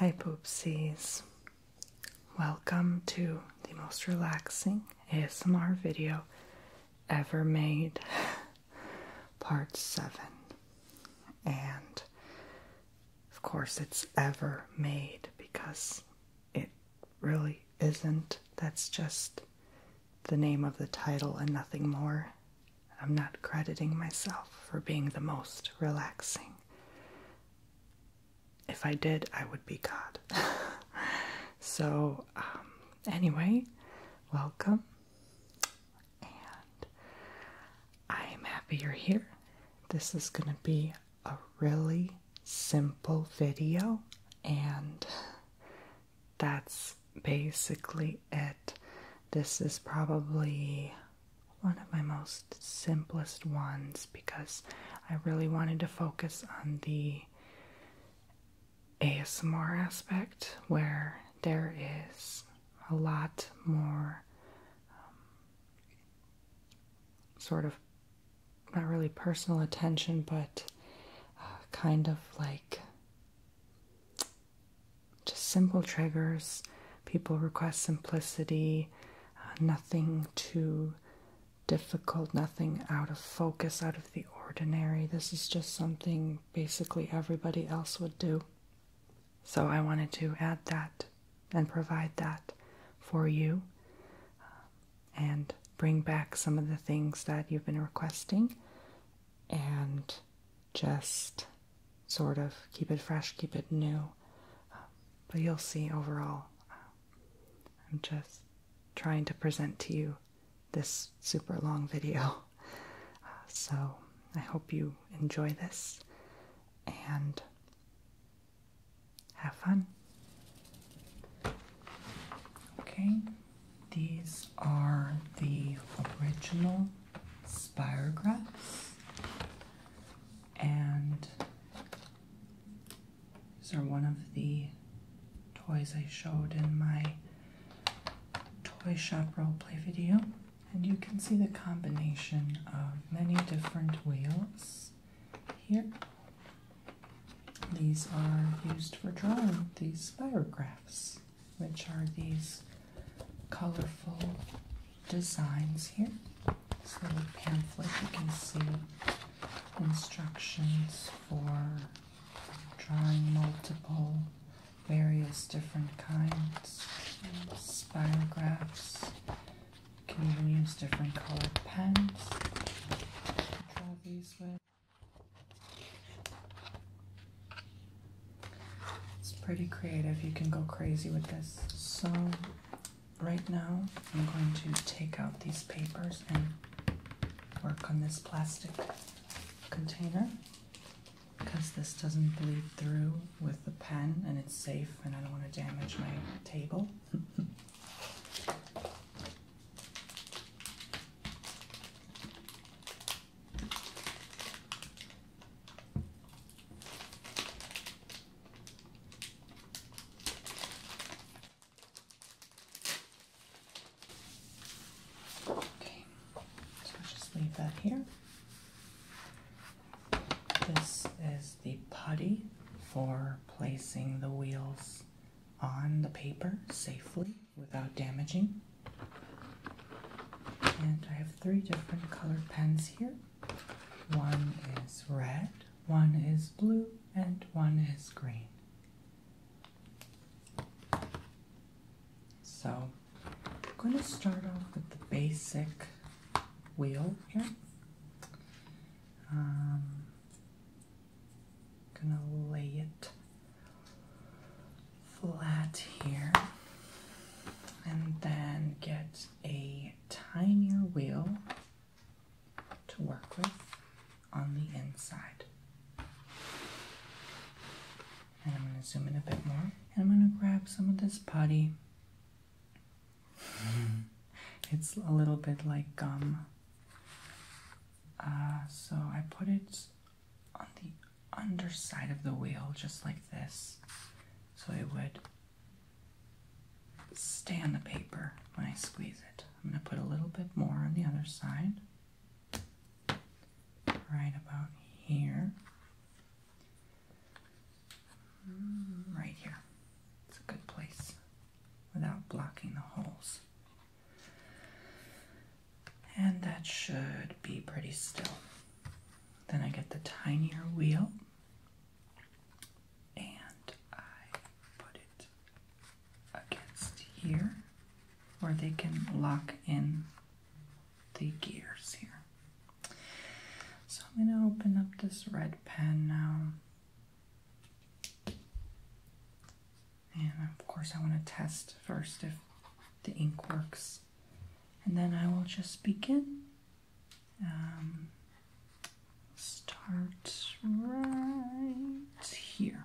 Hi, Poopsies. Welcome to the most relaxing ASMR video ever made, part 7. And of course, it's ever made because it really isn't. That's just the name of the title and nothing more. I'm not crediting myself for being the most relaxing. If I did, I would be God. so, um, anyway, welcome. And I am happy you're here. This is going to be a really simple video, and that's basically it. This is probably one of my most simplest ones because I really wanted to focus on the ASMR aspect where there is a lot more um, sort of not really personal attention but uh, kind of like just simple triggers. People request simplicity, uh, nothing too difficult, nothing out of focus, out of the ordinary. This is just something basically everybody else would do. So I wanted to add that and provide that for you uh, and bring back some of the things that you've been requesting and just sort of keep it fresh, keep it new. Um, but you'll see overall, um, I'm just trying to present to you this super long video. Uh, so I hope you enjoy this and have fun. Okay, these are the original Spirographs, and these are one of the toys I showed in my toy shop play video. And you can see the combination of many different wheels here. These are used for drawing these spirographs which are these colorful designs here. This little pamphlet, you can see instructions for drawing multiple, various different kinds, spirographs. You can even use different colored pens draw these with. It's pretty creative. You can go crazy with this. So, right now, I'm going to take out these papers and work on this plastic container because this doesn't bleed through with the pen and it's safe and I don't want to damage my table. Okay, so I'll just leave that here. This is the putty for placing the wheels on the paper safely without damaging. And I have three different colored pens here. One is red, one is blue, and one is green. So I'm going to start off with the basic wheel here. Um, gonna lay it flat here and then get a tinier wheel to work with on the inside. And I'm going to zoom in a bit more. And I'm going to grab some of this putty. It's a little bit like gum. Uh, so I put it on the underside of the wheel, just like this, so it would stay on the paper when I squeeze it. I'm going to put a little bit more on the other side, right about here. Right here. It's a good place without blocking the holes. And that should be pretty still. Then I get the tinier wheel and I put it against here where they can lock in the gears here. So I'm going to open up this red pen now. And of course, I want to test first if the ink works and then I will just begin. Um, start right here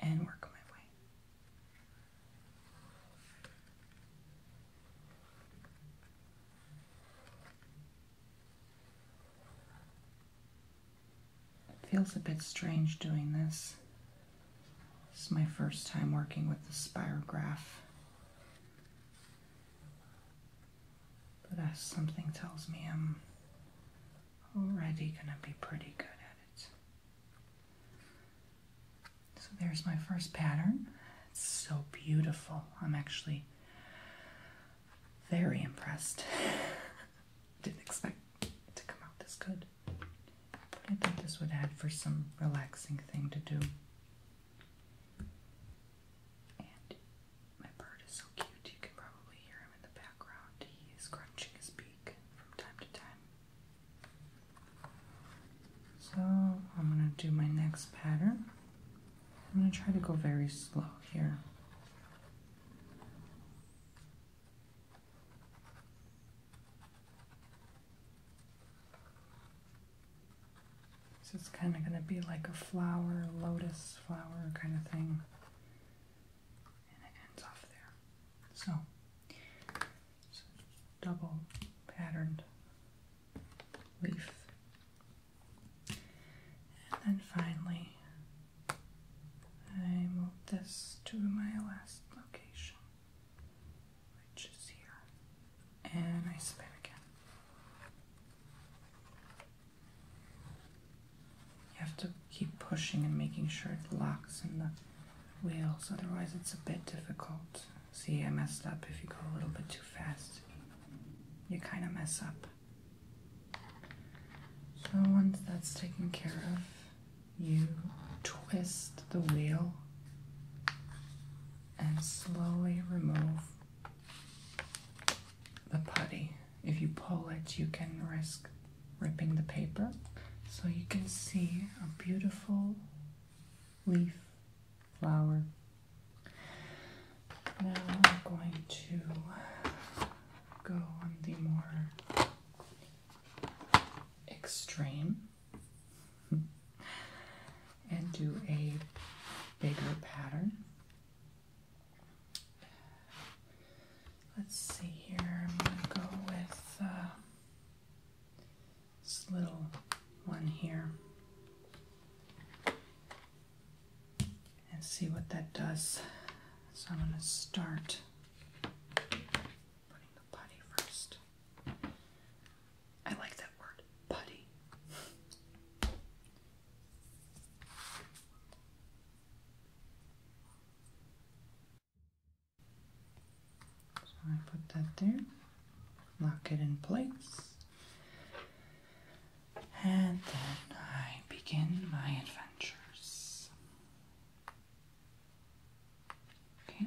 and work my way. It feels a bit strange doing this this is my first time working with the spirograph. But as something tells me I'm already gonna be pretty good at it. So there's my first pattern. It's so beautiful. I'm actually very impressed. Didn't expect it to come out this good. I think this would add for some relaxing thing to do. my bird is so cute, you can probably hear him in the background. He crunching his beak from time to time. So I'm going to do my next pattern. I'm going to try to go very slow here. So it's kind of going to be like a flower, lotus flower kind of thing. And it ends off there. so double patterned leaf. And then finally, I move this to my last location which is here, and I spin again. You have to keep pushing and making sure it locks in the wheels, otherwise, it's a bit difficult. See, I messed up if you go a little bit too fast. You kind of mess up. So, once that's taken care of, you twist the wheel and slowly remove the putty. If you pull it, you can risk ripping the paper. So you can see a beautiful leaf flower. Now I'm going to go on the more extreme Hmm. and do a bigger pattern. Let's see here, I'm going to go with uh, this little one here and see what that does. So I'm going to start putting the putty first. I like that word, putty. So I put that there, lock it in place, and then I begin my adventures. Okay,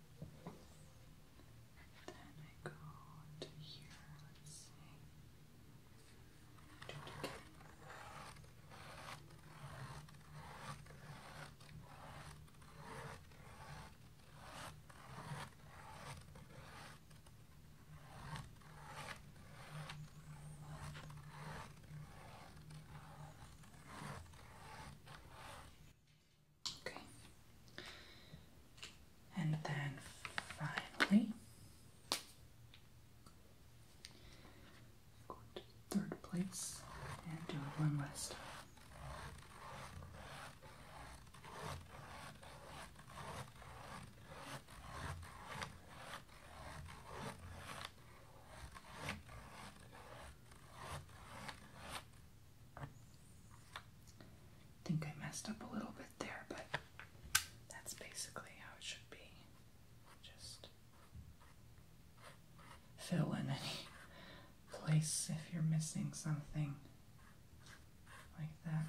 And then I go to here, let's see. Do Okay. And then finally, go to third place and do it one last time. I think I messed up a little bit there, but that's basically how it should be. Just fill in any place if you're missing something like that.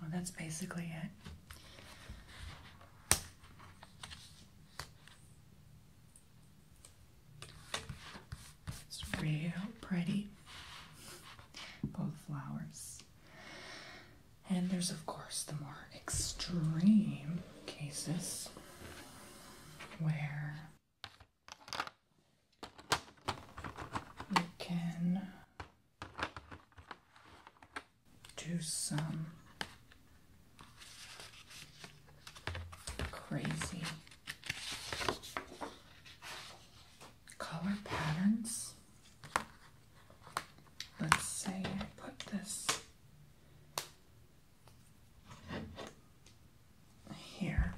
Well, that's basically it. It's real pretty. Both flowers. And there's, of course, the more extreme cases where you can do some crazy color patterns. Let's say I put this here,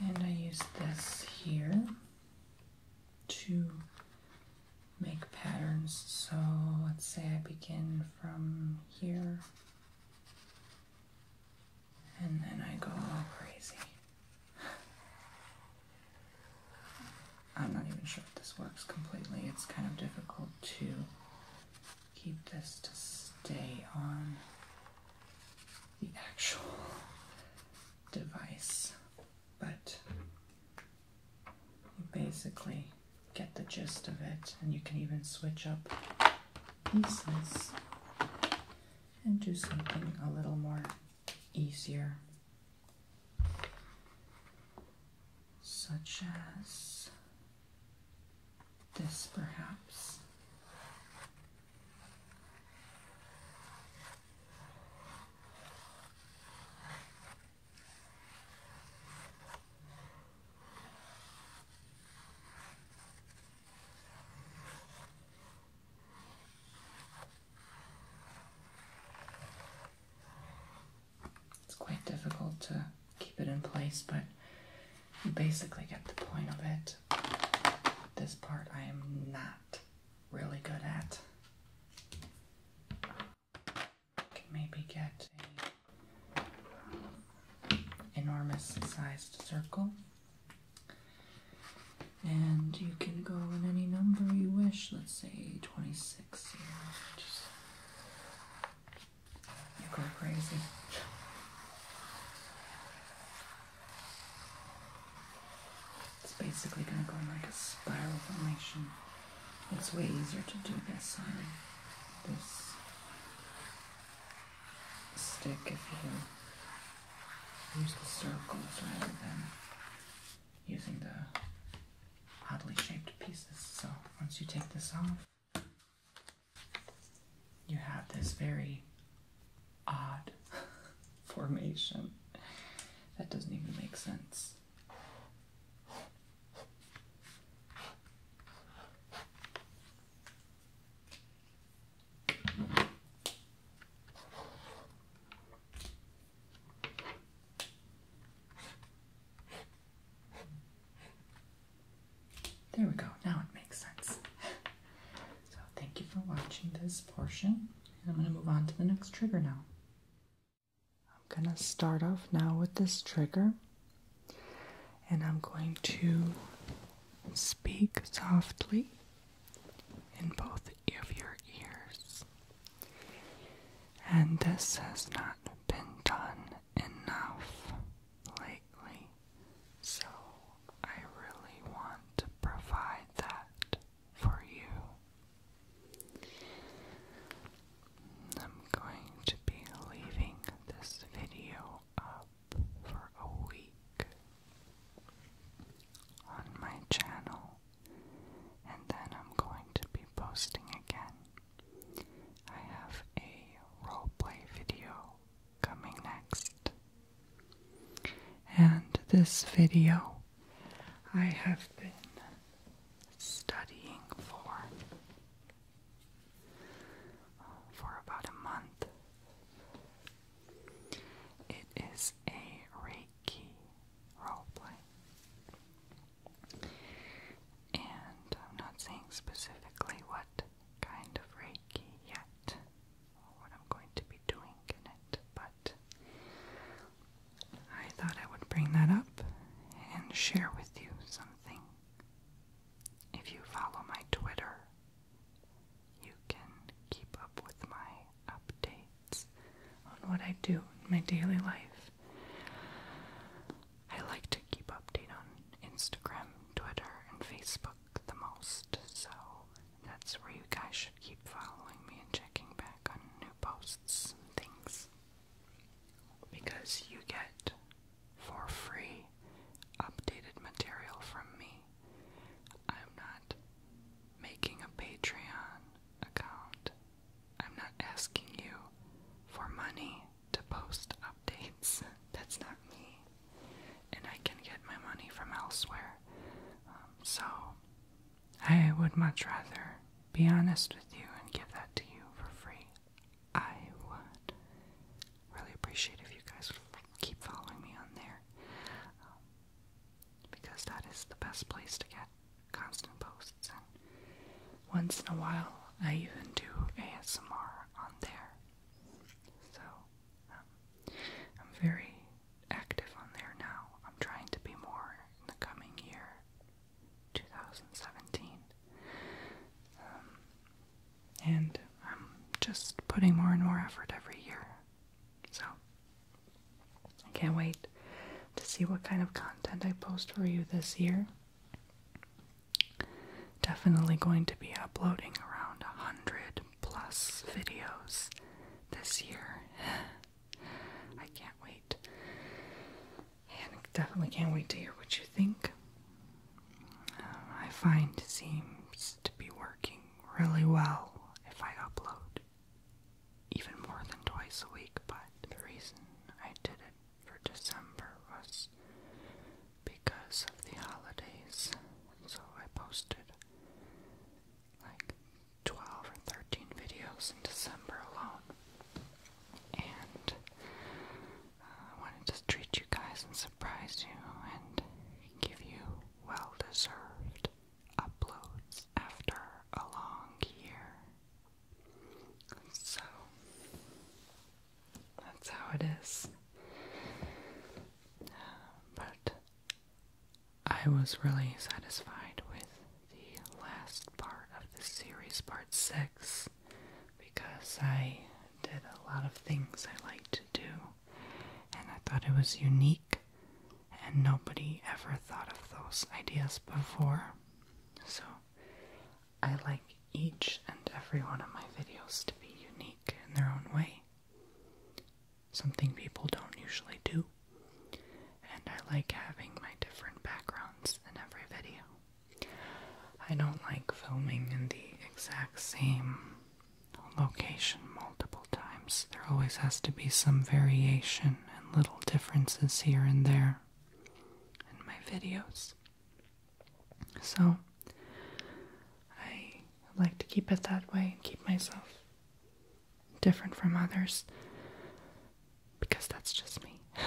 and I use this here to make patterns. So let's say I begin from here and then I go crazy. I'm not even sure if this works completely. It's kind of difficult to keep this to stay on the actual device, but basically get the gist of it, and you can even switch up pieces and do something a little more easier, such as this, perhaps. It's quite difficult to keep it in place, but you basically get the point of it. This part I am not really good at. maybe get enormous sized circle. And you can go in any number you wish, let's say 26 you go crazy. It's basically going to go in like a spiral formation. It's way easier to do this on this stick if you use the circles rather than using the oddly shaped pieces. So once you take this off, you have this very odd formation that doesn't even make sense. There we go, now it makes sense. so, thank you for watching this portion, I'm going to move on to the next trigger now. I'm going to start off now with this trigger and I'm going to speak softly in both of your ears. And this has not been done enough lately, so I really want to provide that for you. I'm going to be leaving this video up for a week on my channel, and then I'm going to be posting again. I have a roleplay video coming next. And this video I have been studying for for about a month. It is a Reiki roleplay. And I'm not saying specifically what kind of Reiki yet, or what I'm going to be doing in it, but I thought I would bring that up and share with you something if you follow my Twitter, you can keep up with my updates on what I do in my daily life. I like to keep update on Instagram, Twitter, and Facebook the most, so that's where you guys should keep following me and checking back on new posts and things. Because you get for free updated material from me. I'm not making a Patreon account. I'm not asking you for money to post updates. That's not me. And I can get my money from elsewhere. Um, so, I would much rather be honest with you and give that to you for free. I would really appreciate if you guys keep following me on there um, because that is the best place to get constant posts. And once in a while, I even do ASMR on there. So um, I'm very active on there now. I'm trying to be more in the coming year, 2017. Um, and I'm just putting more and more effort every year. So I can't wait to see what kind of content I post for you this year. Definitely going to be uploading around 100 plus videos this year. I can't wait. I definitely can't wait to hear what you think. Uh, I find seems to be working really well if I upload even more than twice a week, but the reason I did it for December was because of the holidays. So I posted like 12 or 13 videos in December alone. And I wanted to treat you guys and surprise you and give you well deserved uploads after a long year. So, that's how it is. But I was really satisfied with the last part of the series, part 6 because I did a lot of things I like to do and I thought it was unique and nobody ever thought of those ideas before. So I like each and every one of my videos to be unique in their own way. Something people don't usually do. And I like having my different backgrounds in every video. I don't like filming in the exact same location multiple times. There always has to be some variation and little differences here and there in my videos. So, I like to keep it that way and keep myself different from others because that's just me.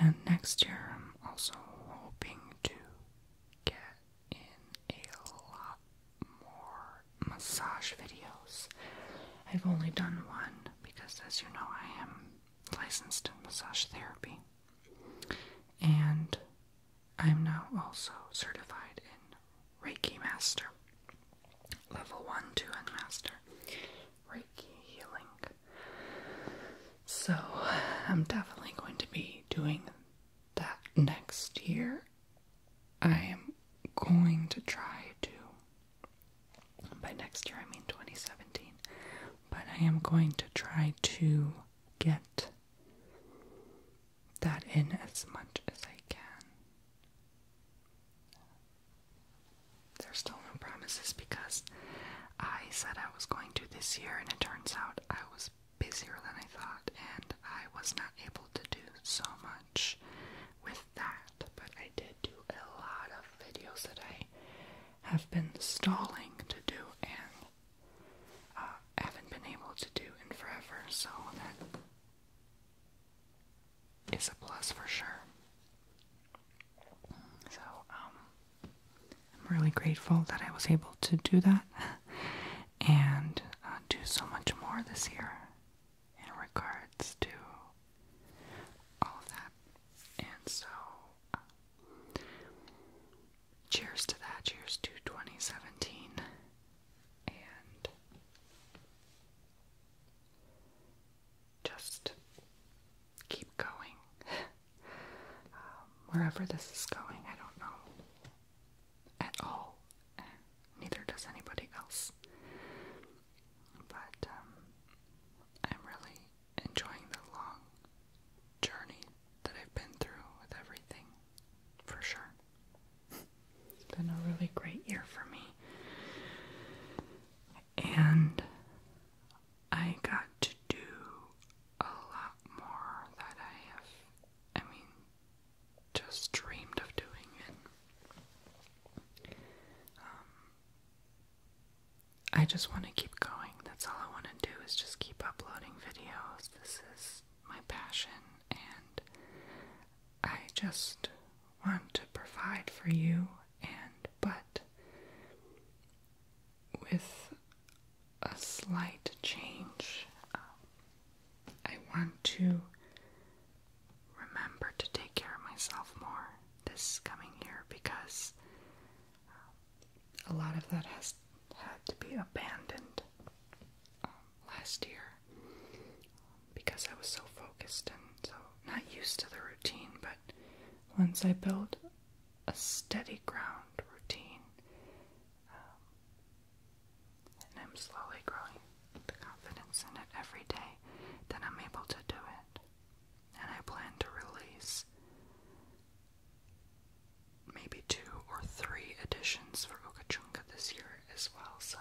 And next year, I'm also hoping to get in a lot more massage videos. I've only done one because, as you know, I am licensed in massage therapy. And I'm now also certified in Reiki Master, Level 1, 2, and Master. Reiki healing. So, I'm definitely going to be doing that next year. I am going to try to, by next year I mean 2017, but I am going to try to get that in as much as I can there's still no promises because I said I was going to this year, and it turns out I was busier than I thought, and I was not able to do so much with that. But I did do a lot of videos that I have been stalling to do and uh, haven't been able to do in forever, so that is a plus for sure. So, um, I'm really grateful that I was able to do that and uh, do so much more this year in regards to all of that. And so, uh, cheers to that. Cheers to 2017. And just keep going. Um, wherever this is going, I don't know at all. neither does anybody else. But um, I'm really enjoying the long journey that I've been through with everything, for sure. It's been a really great year for me. And I got to do a lot more that I have, I mean, just dreamed of doing it. Um, I just want to keep going. That's all I want to do is just keep uploading videos. This is my passion, and I just want to provide for you. And but with a slight change. Um, I want to remember to take care of myself more this coming year because um, a lot of that has had to be abandoned um, last year because I was so focused and so not used to the routine. But once I built a steady ground routine. Um, and I'm slowly growing the confidence in it every day that I'm able to do it. And I plan to release maybe two or three editions for Okachunka this year as well, so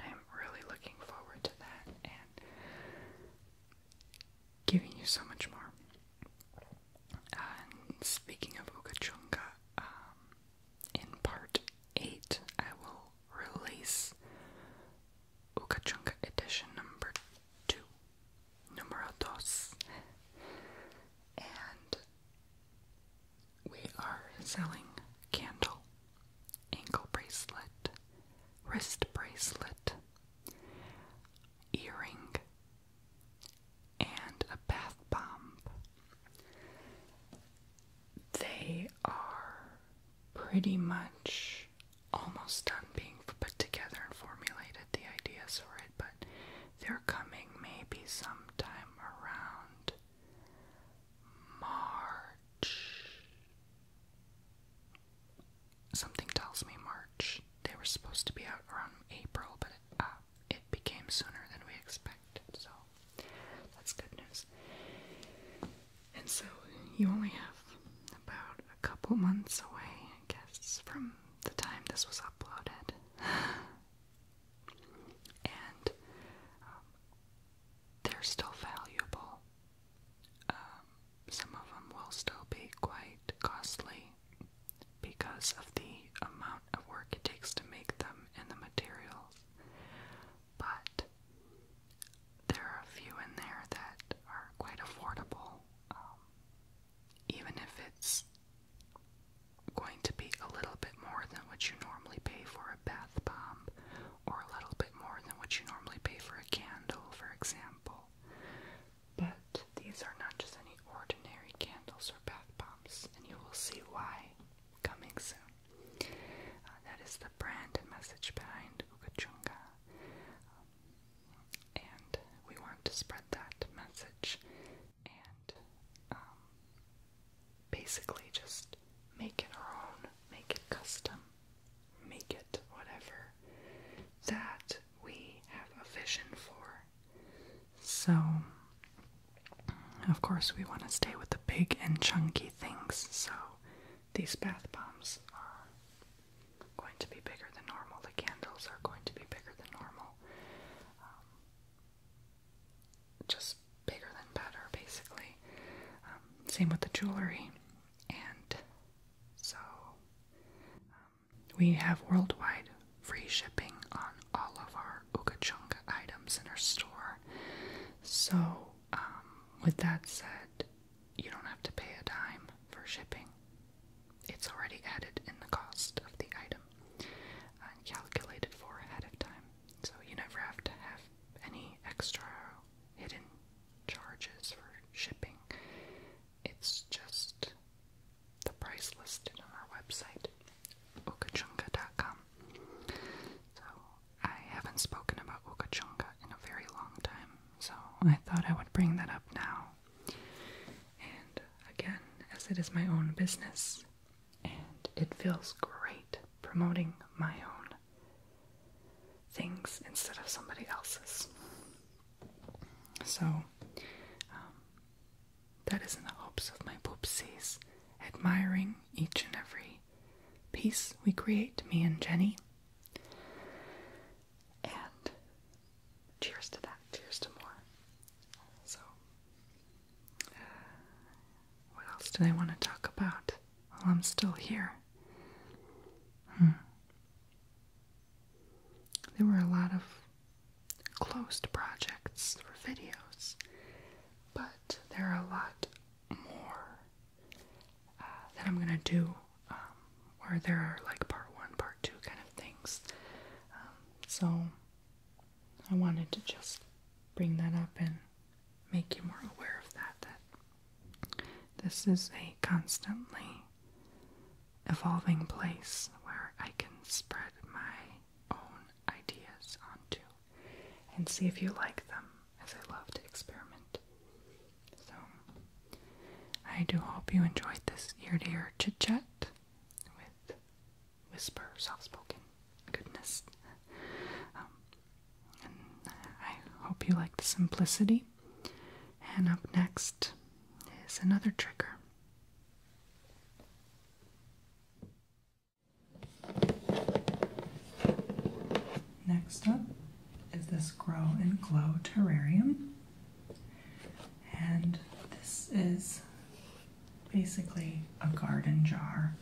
I'm really looking forward to that. And giving you so much more. Uh, speaking of Ukachunga, um, in part 8, I will release Ukachunga edition number 2, numero dos. And we are selling candle, ankle bracelet, wrist bracelet, earring, and a bath bomb. They are pretty much almost done being put together and formulated, the ideas for it, but they're coming maybe sometime around March. Something tells me March. They were supposed to be out around April, but uh, it, became sooner than we expected, so that's good news. And so you only have about a couple months away, I guess, from the time this was uploaded. and um, they're still valuable. Um, some of them will still be quite costly because of the amount of work it takes to make them and the materials. But there are a few in there that are quite affordable, um, even if it's going to be a little bit more than what you normally pay for a bath bomb, or a little bit more than what you normally pay for a candle, for example. But these are not just any ordinary candles or bath bombs, and you will see why coming soon. Uh, that is the brand and message behind Ukachunga. Um, and we want to spread that message and um, basically just make it our own, make it custom make it, whatever, that we have a vision for. So, of course, we want to stay with the big and chunky things, so these bath bombs are going to be bigger than normal, the candles are going to be bigger than normal. Um, just bigger than better, basically. Um, same with the jewelry, and so, um, we have worldwide free shipping on all of our Ukachunga items in our store. So, um, with that said, you don't have to pay a dime for shipping. It's already added in the cost of the item and calculated for ahead of time. So you never have to have any extra hidden charges for shipping. It's just the price listed on our website, okachunga.com. So, I haven't spoken about Okachunga in a very long time, so I thought I would bring that up now. And again, as it is my own business, and it feels great promoting my own things instead of somebody else's. So, um, that is in the hopes of my poopsies admiring each and every piece we create, me and Jenny. And cheers to that, cheers to more. So, uh, what else did I want to talk about while I'm still here? Hmm. There were a lot of closed projects for videos, but there are a lot more uh, that I'm gonna do um, where there are like part one, part two kind of things. Um, so I wanted to just bring that up and make you more aware of That this is a constantly evolving place where I can spread my own ideas onto and see if you like them, as I love to experiment. So, I do hope you enjoyed this ear to ear chit chat with whisper, soft spoken goodness. Um, uh, I hope you like the simplicity and up next is another trigger. Next up is this Grow and Glow Terrarium. And this is basically a garden jar.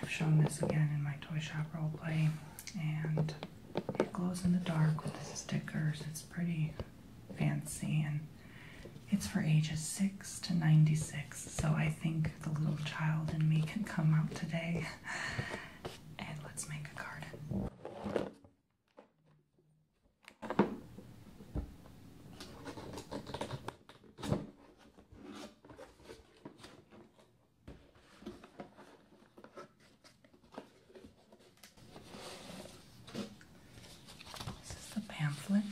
I've shown this again in my Toy Shop role play, and it glows in the dark with the stickers. It's pretty fancy and it's for ages 6 to 96. So I think the little child in me can come out today and let's make a garden. This is the pamphlet.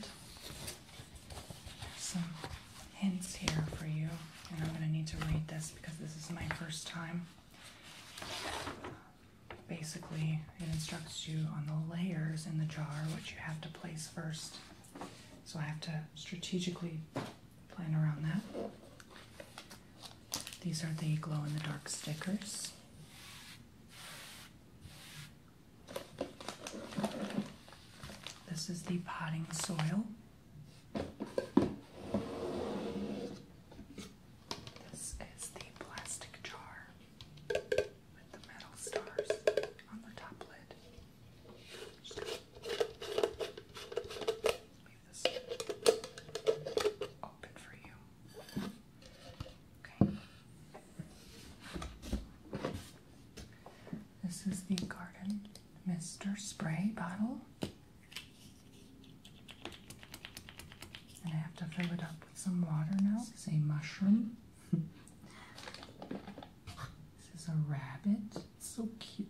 some hints here for you, and I'm going to need to read this because this is my first time. Basically, it instructs you on the layers in the jar, which you have to place first. So I have to strategically plan around that. These are the glow in the dark stickers. This is the potting soil. This is the plastic jar with the metal stars on the top lid leave this open for you. Okay. This is the Garden Mister Spray bottle. And I have to fill it up with some water now. This is a mushroom. this is a rabbit. so cute.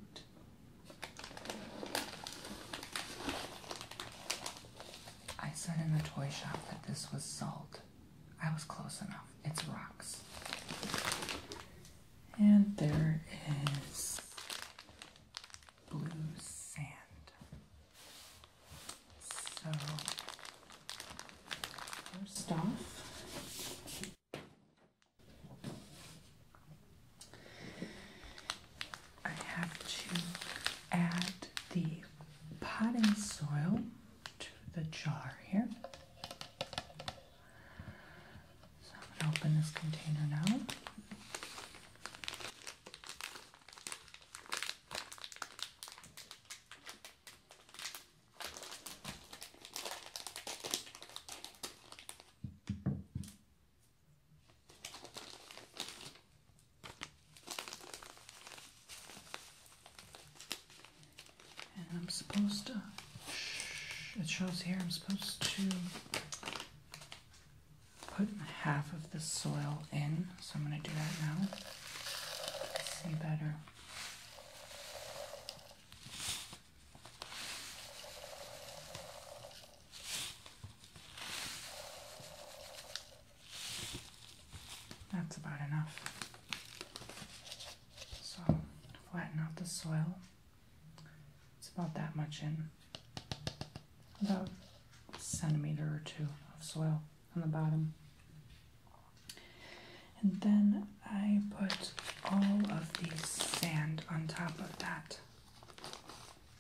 I said in the toy shop that this was salt. I was close enough. It's rocks. And there is blue sand. So, first off, I have to add the potting soil to the jar here. So I'm going to open this container now. And I'm supposed to, it shows here, I'm supposed to put half of the soil in, so I'm going to do that now. See better. That's about enough. So, flatten out the soil. It's about that much in, about a centimeter or two of soil on the bottom. And then I put all of the sand on top of that.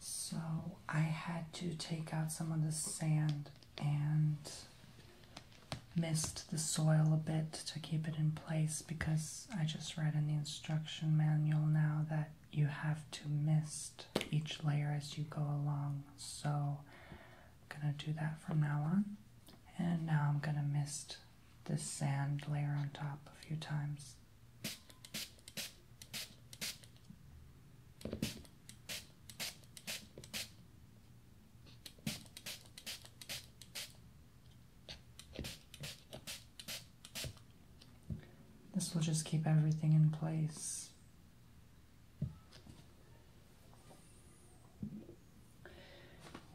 So I had to take out some of the sand and mist the soil a bit to keep it in place because I just read in the instruction manual now that you have to mist each layer as you go along. So I'm going to do that from now on. And now I'm going to mist this sand layer on top a few times. This will just keep everything in place.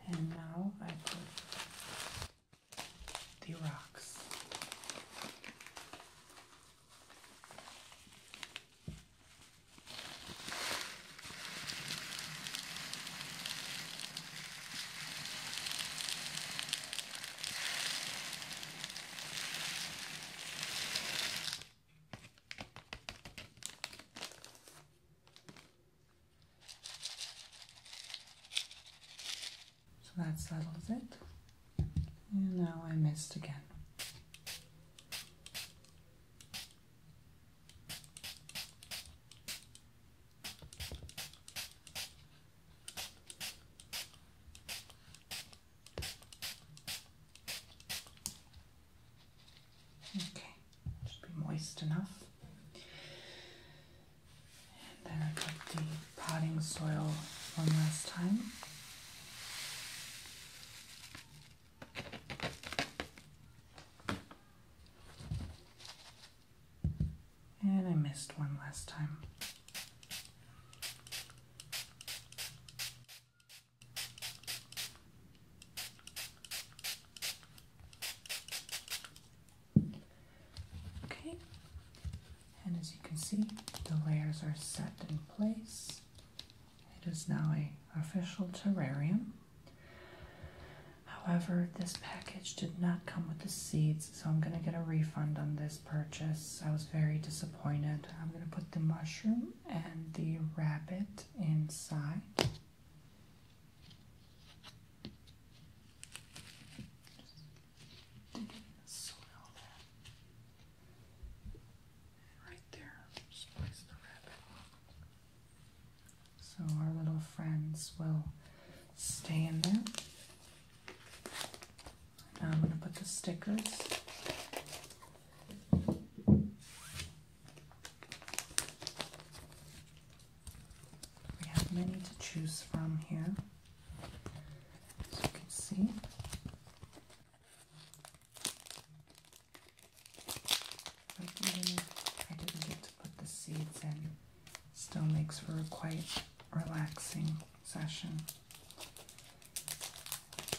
And now I put the rocks. So that settles it. And now I missed again. Okay, should be moist enough. And then I got the potting soil one last time. And I missed one last time. Okay, and as you can see, the layers are set in place. It is now a official terrarium. However, this package did not come with the seeds, so I'm going to get a refund on this purchase. I was very disappointed. I'm going to put the mushroom and the rabbit inside. So our little friends will stay in there. Now I'm going to put the stickers. We have many to choose from here, as you can see. I didn't get to put the seeds in, still makes for a quite relaxing session.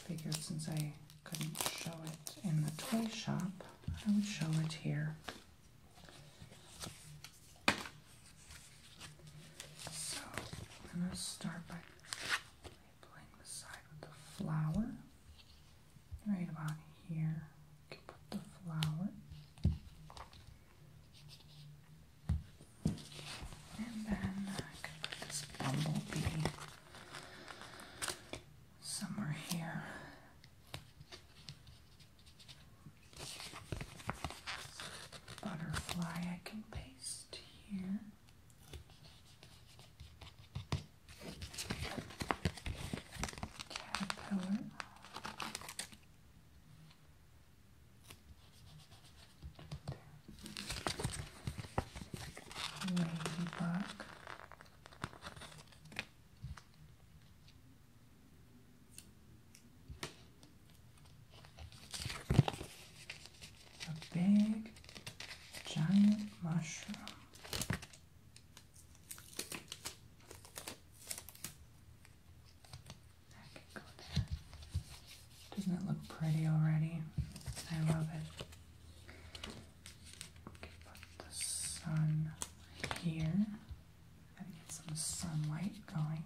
Figured since I couldn't show it in the toy shop, I would show it here. So I'm going to start by playing the side with the flower. Right about here, you can put the flower. And then I could put this bumblebee somewhere here. Butterfly I can paste here. Caterpillar. Ladybug. A big giant mushroom. That can go there. Doesn't it look pretty already? I love it. Put the sun here. get some sunlight going.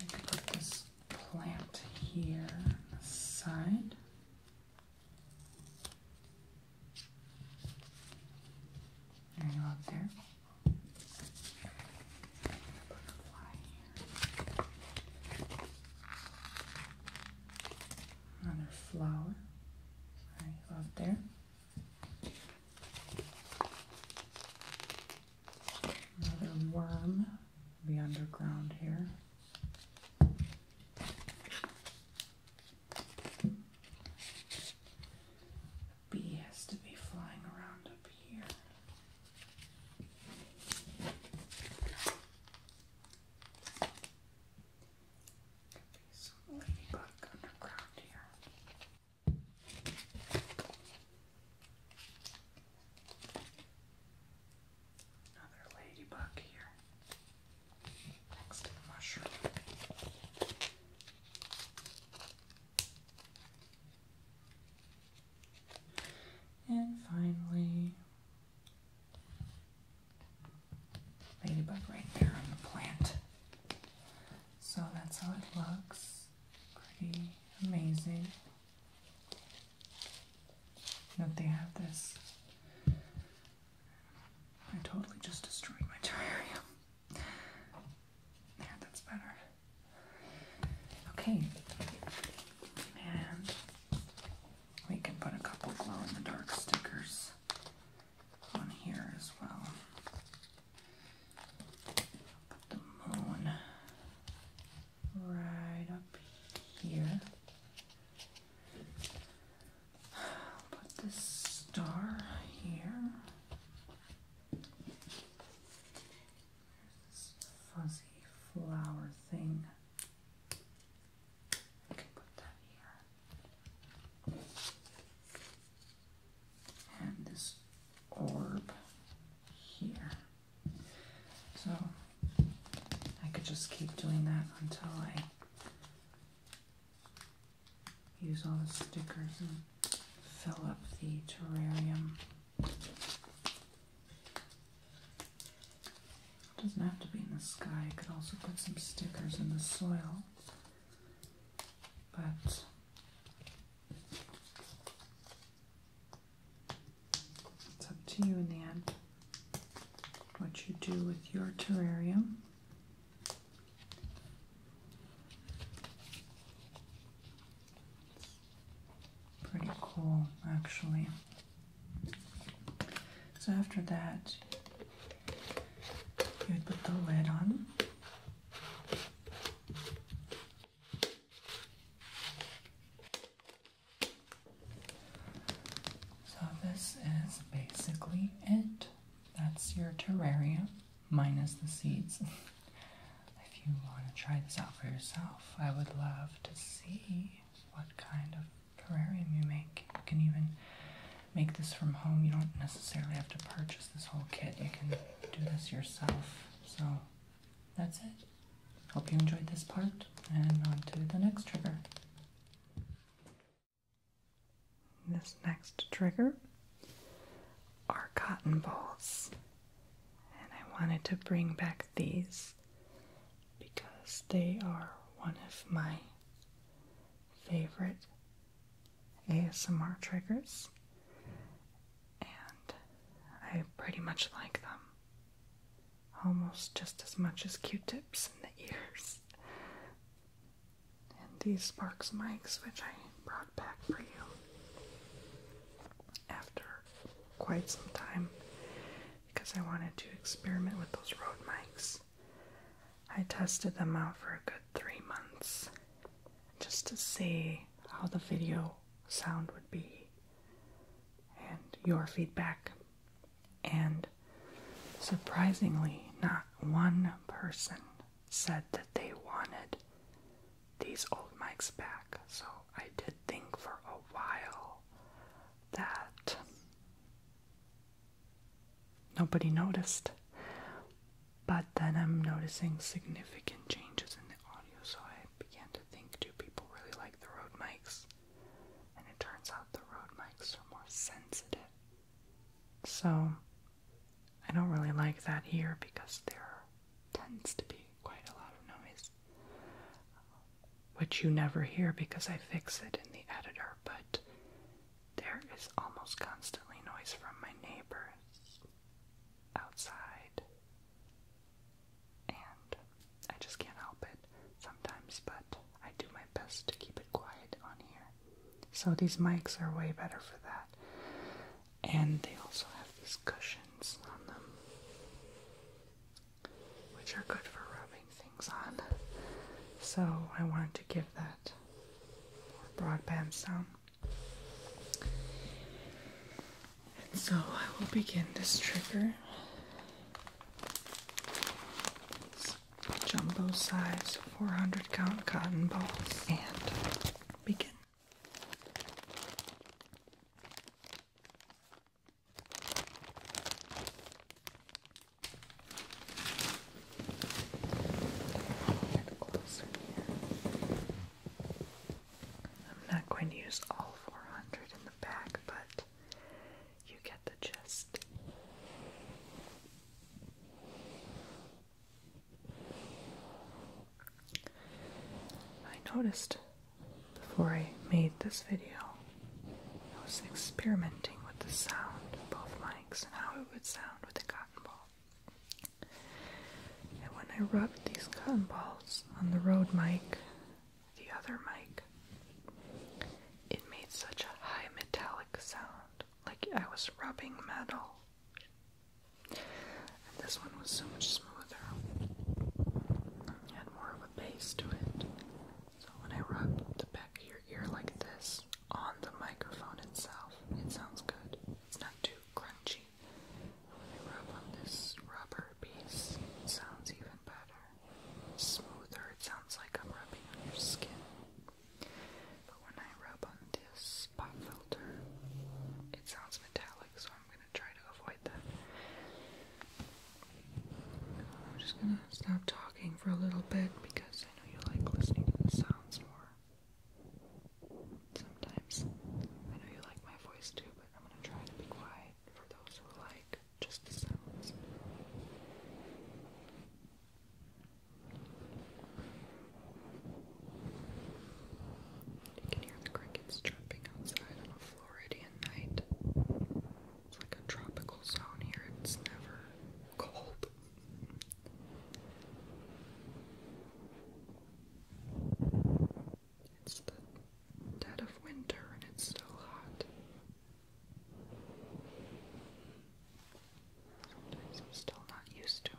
We could put this plant here side. There you there. Butterfly another flower I love there another worm be underground here the bee has to be flying around up here could be ladybug underground here. Another ladybug here. Next to the mushroom. And finally, ladybug right there on the plant. So that's how it looks. Pretty amazing. That they have this. I totally just destroyed my terrarium. There, that's better. Okay. And we can put a couple glow in the dark stickers on here as well. Put the moon right up here. Put this star here. There's this fuzzy flower thing. I can put that here. And this orb here. So I could just keep doing that until I use all the stickers and fill up the terrarium. It doesn't have to be in the sky. I could also put some stickers in the soil. But it's up to you in the end what you do with your terrarium. It's pretty cool, actually. So after that, you would put the lid on. So this is basically it. That's your terrarium minus the seeds. if you want to try this out for yourself, I would love to see what kind of terrarium you make. You can even make this from home. You don't necessarily have to purchase this whole kit. You can do this yourself. So that's it. Hope you enjoyed this part and on to the next trigger. This next trigger are cotton balls. And I wanted to bring back these because they are one of my favorite ASMR triggers, and I pretty much like them almost just as much as q tips in the ears. And these Sparks mics, which I brought back for you after quite some time, because I wanted to experiment with those road mics. I tested them out for a good three months just to see how the video sound would be and your feedback. And surprisingly, not one person said that they wanted these old mics back. So I did think for a while that Nobody noticed. But then I'm noticing significant changes in the audio, so I began to think do people really like the road mics? And it turns out the road mics are more sensitive. So I don't really like that here because there tends to be quite a lot of noise which you never hear because I fix it in the editor, but there is almost constantly noise from my neighbors outside. And I just can't help it sometimes, but I do my best to keep it quiet on here. So these mics are way better for that. And they also have these cushions on them which are good for rubbing things on. So I want to give that more broadband sound. And so I will begin this trigger. jumbo size 400 count cotton balls and begin. I'm not going to use all 400 in the back, but you get the gist. I noticed before I made this video, I was experimenting with the sound of both mics and how it would sound with a cotton ball. And when I rubbed these cotton balls on the road mic, the other mic, it made such a high metallic sound, like I was rubbing metal. And this one was so much smoother. It had more of a bass to it. So when I rub the back of your ear like this on the microphone itself, it sounds good. It's not too crunchy. When I rub on this rubber piece, it sounds even better. Smoother, it sounds like I'm rubbing on your skin. But when I rub on this spot filter, it sounds metallic, so I'm gonna try to avoid that. I'm just gonna stop talking for a little bit because I know you like listening to the sounds more. Sometimes I know you like my voice too, but I'm gonna try to be quiet for those who like just the sounds. You can hear the crickets chirping outside on a Floridian night. It's like a tropical zone here, it's never cold. It's the dead of winter and it's still hot. Sometimes I'm still not used to it.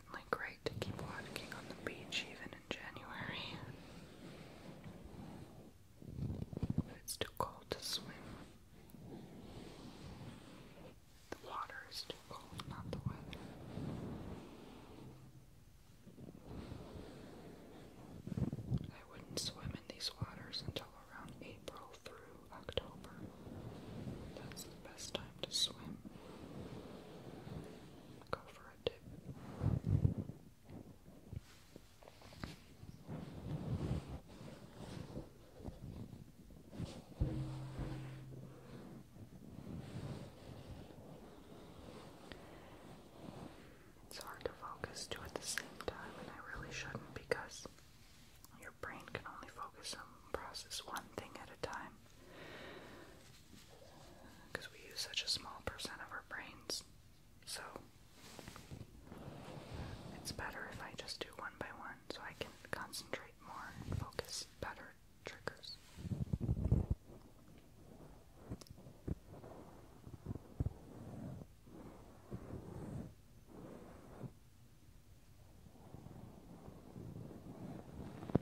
certainly great to keep walking on the beach even in January. But it's too cold to swim. The water is too cold, not the weather. I wouldn't swim in these waters until around April through October. That's the best time to swim. Go for a It's hard to focus two at the same time, and I really shouldn't because your brain can only focus and process one thing at a time because we use such a small percent of our brains. So it's better if I just do one by one so I can concentrate more and focus better triggers.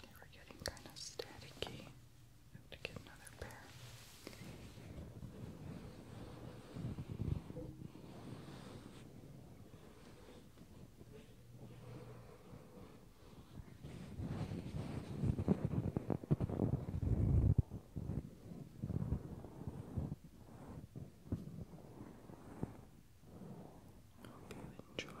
They were getting kind of staticky. I have to get another pair. Okay. Hope you enjoy. Thank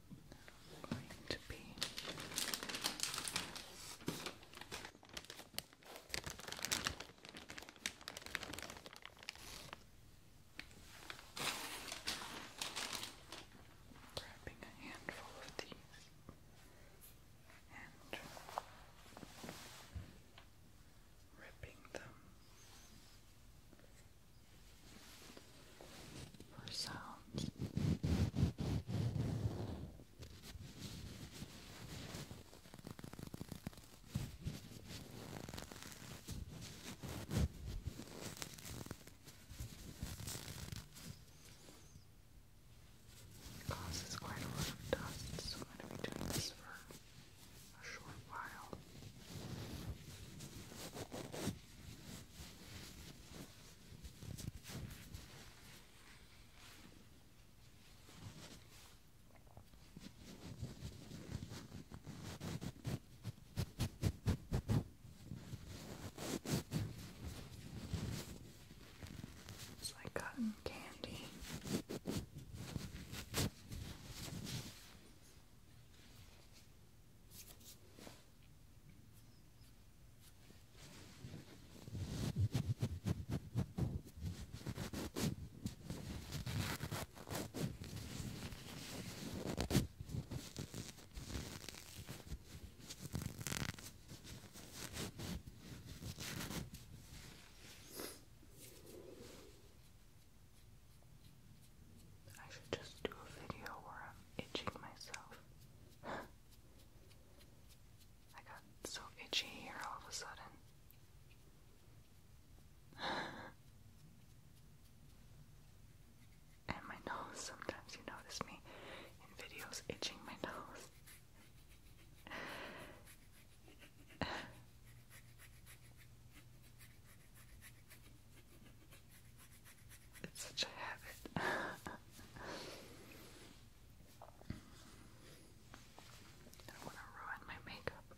going to be. Grabbing a handful of these and ripping them for sound. causes quite a lot of dust, so I'm going to be doing this for a short while. It's like cotton candy. I should just do a video where I'm itching myself. I got so itchy here all of a sudden. and my nose, sometimes you notice me in videos itching my nose. It's such a habit. I don't want to ruin my makeup.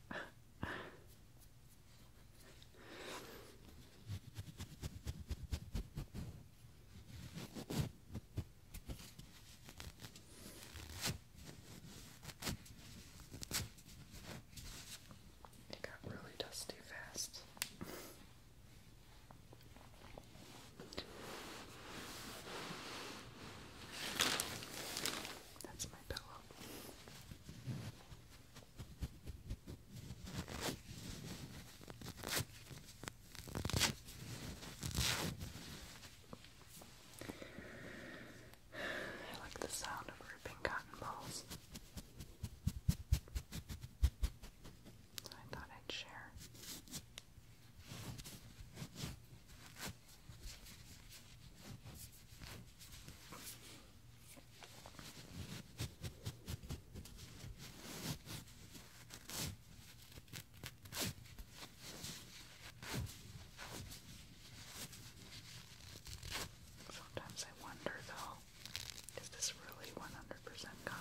It got really dusty fast. That's my pillow. I like the sound of ripping cotton balls. I thought I'd share. Sometimes I wonder though is this really 100% cotton?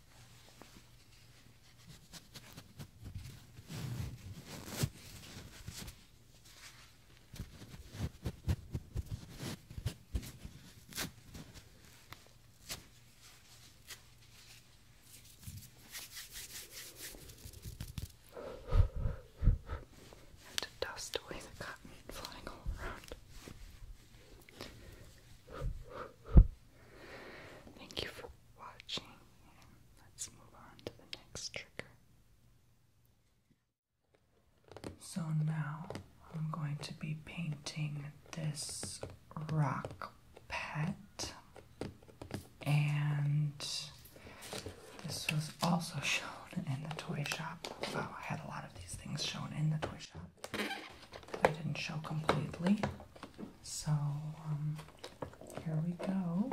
I have to dust away the cotton flying all around. Thank you for watching, and let's move on to the next trigger. So now I'm going to be painting this rock pet, and this was also shown in the toy shop. Wow, I had a lot of these things shown in the toy shop that I didn't show completely. So um, here we go.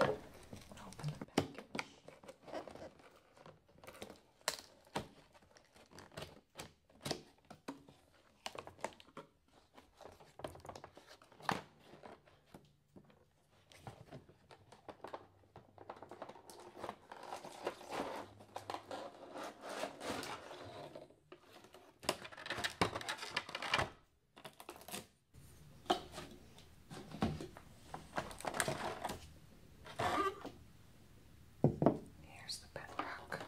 Open the package. Here's the bedrock.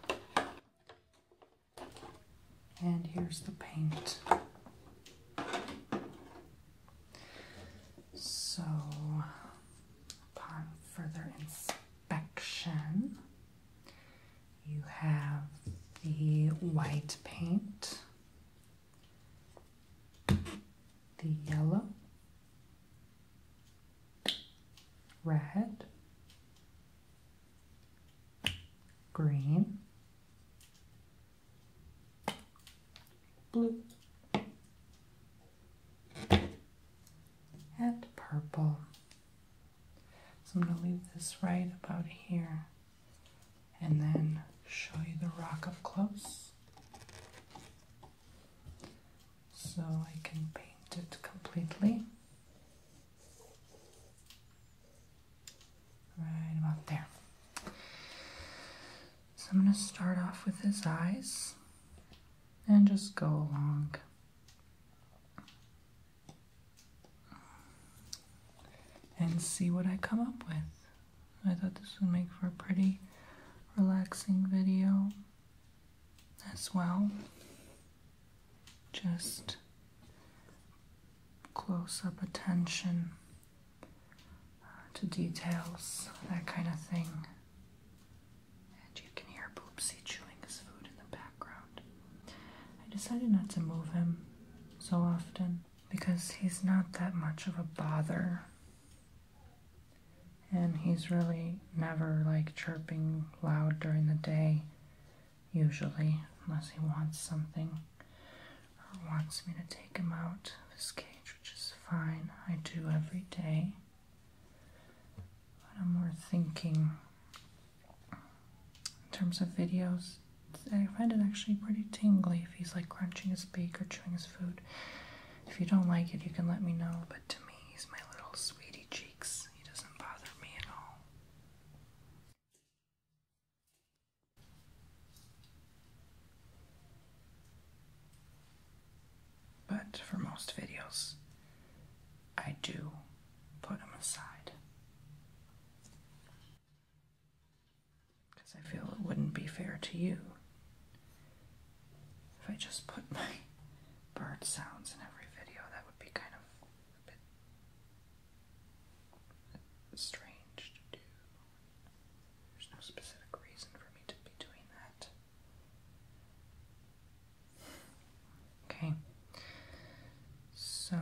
And here's the paint. So, upon further inspection, you have the white paint, the yellow, red, green, blue, and purple. So I'm going to leave this right about here and then show you the rock up close so I can paint it completely. Right about there. So I'm going to start off with his eyes and just go along and see what I come up with. I thought this would make for a pretty relaxing video as well. Just close up attention uh, to details, that kind of thing. And you can hear Boopsy chewing his food in the background. I decided not to move him so often because he's not that much of a bother. And he's really never like chirping loud during the day, usually, unless he wants something or wants me to take him out of his cage, which is fine. I do every day. But I'm more thinking in terms of videos, I find it actually pretty tingly if he's like crunching his beak or chewing his food. If you don't like it, you can let me know, but to me, he's my little sweetie cheeks. He doesn't bother me at all. But for most videos, I do put them aside. Because I feel it wouldn't be fair to you if I just put my bird sounds in every video. That would be kind of strange to do. There's no specific reason for me to be doing that. Okay, so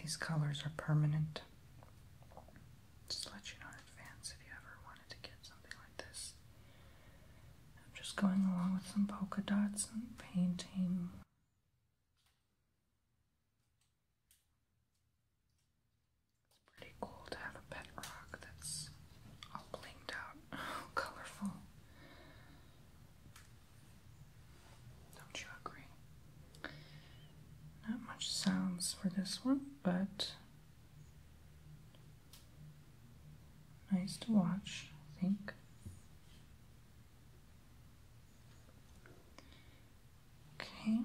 these colors are permanent. Just let you know in advance if you ever wanted to get something like this. I'm just going along with some polka dots and painting. It's pretty cool to have a pet rock that's all blinged out, colorful. Don't you agree? Not much sounds for this one, but nice to watch, I think. Okay.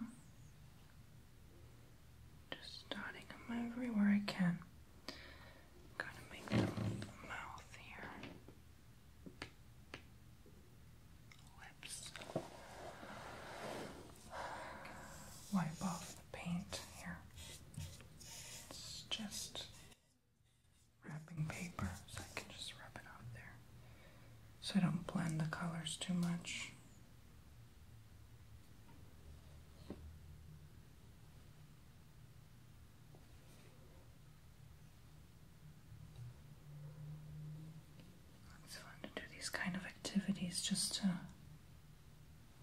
Just dotting them everywhere I can. Gotta make the mouth here. Lips. Wipe off the paint here. It's just wrapping paper, so I can just rub it off there. So I don't blend the colors too much. It's fun to do these kind of activities just to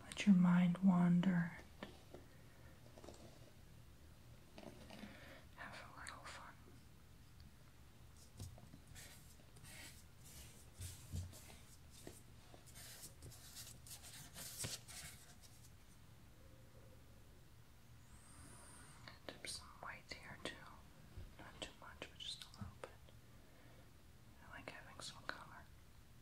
let your mind wander have a little fun. Dip some white here too. Not too much, but just a little bit. I like having some color.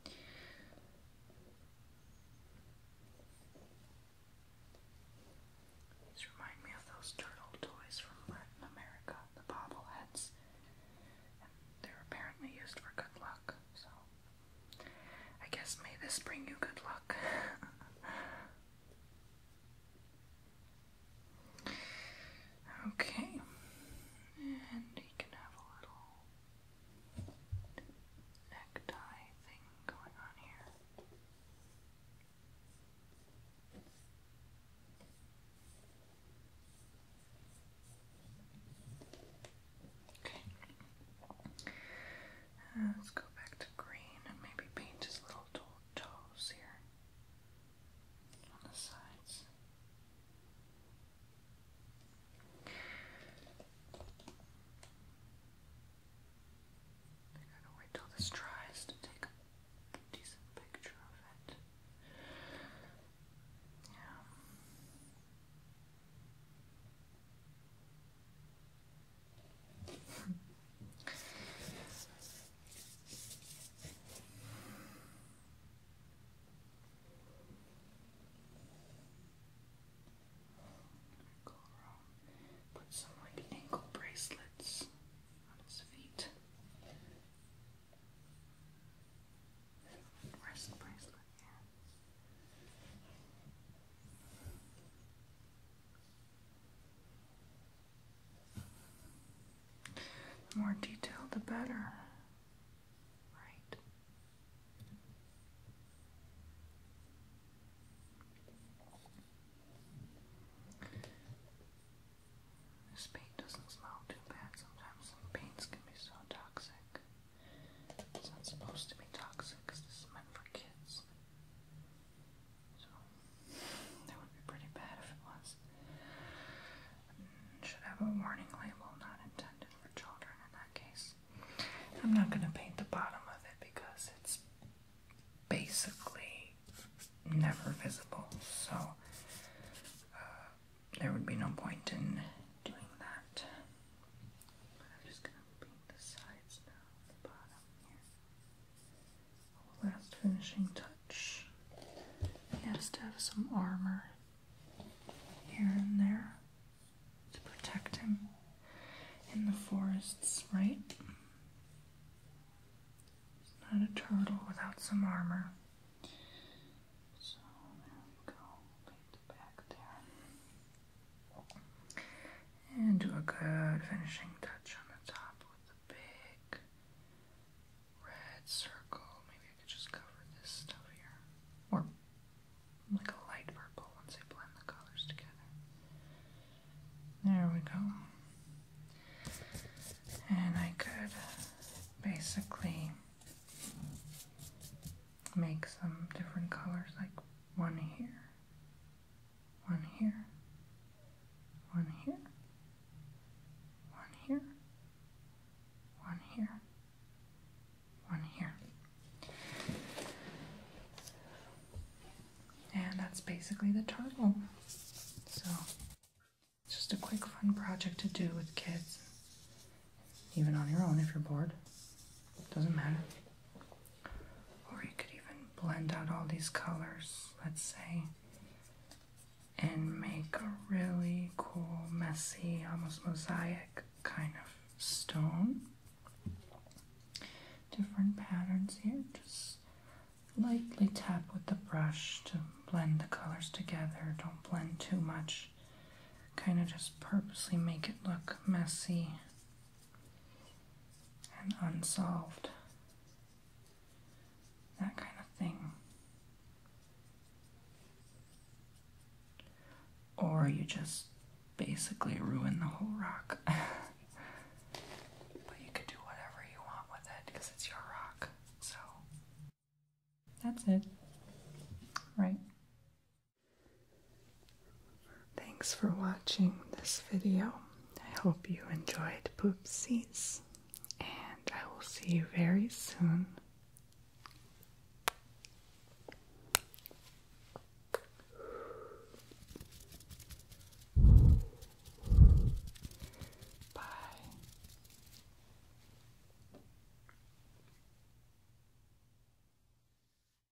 These remind me of those turtle toys from Latin America, the bobbleheads. they're apparently used for good luck, so I guess may this bring you good luck. okay, and you can have a little necktie thing going on here. Okay. Uh, let's go back to green and maybe paint his little toes here on the sides. gotta wait till this dries to take a decent picture of it. Yeah. Put some like ankle bracelets on his feet. bracelet, yeah. The more detailed, the better. Right. This paint doesn't smell too bad. Sometimes paints can be so toxic. It's not supposed to be toxic this is meant for kids. So, that would be pretty bad if it was. Mm, should have a warning label not intended for children in that case. I'm not going to paint the bottom of it because it's basically never visible, so uh, there would be no point in doing that the last finishing touch. He has to have some armor here and there to protect him in the forests, right? It's not a turtle without some armor. So there we go. Paint the back there. And do a good finishing touch on the top with the big red circle. Maybe I could just cover this stuff here. Or like a light purple once I blend the colors together. There we go. And I could basically make some different colors, like one here, one here, one here, one here, one here, one here. And that's basically the turtle. So, it's just a quick, fun project to do with kids, even on your own if you're bored. Doesn't matter. Or you could even blend out all these colors, let's say, and make a really cool, messy, almost mosaic kind of stone. Different patterns here, just lightly tap with the brush to blend the colors together. Don't blend too much. Kind of just purposely make it look messy and unsolved, that kind of thing. Or you just basically ruin the whole rock. but you could do whatever you want with it because it's your rock. So that's it. Right. Thanks for watching this video. I hope you enjoyed Poopsies, and I will see you very soon. Bye.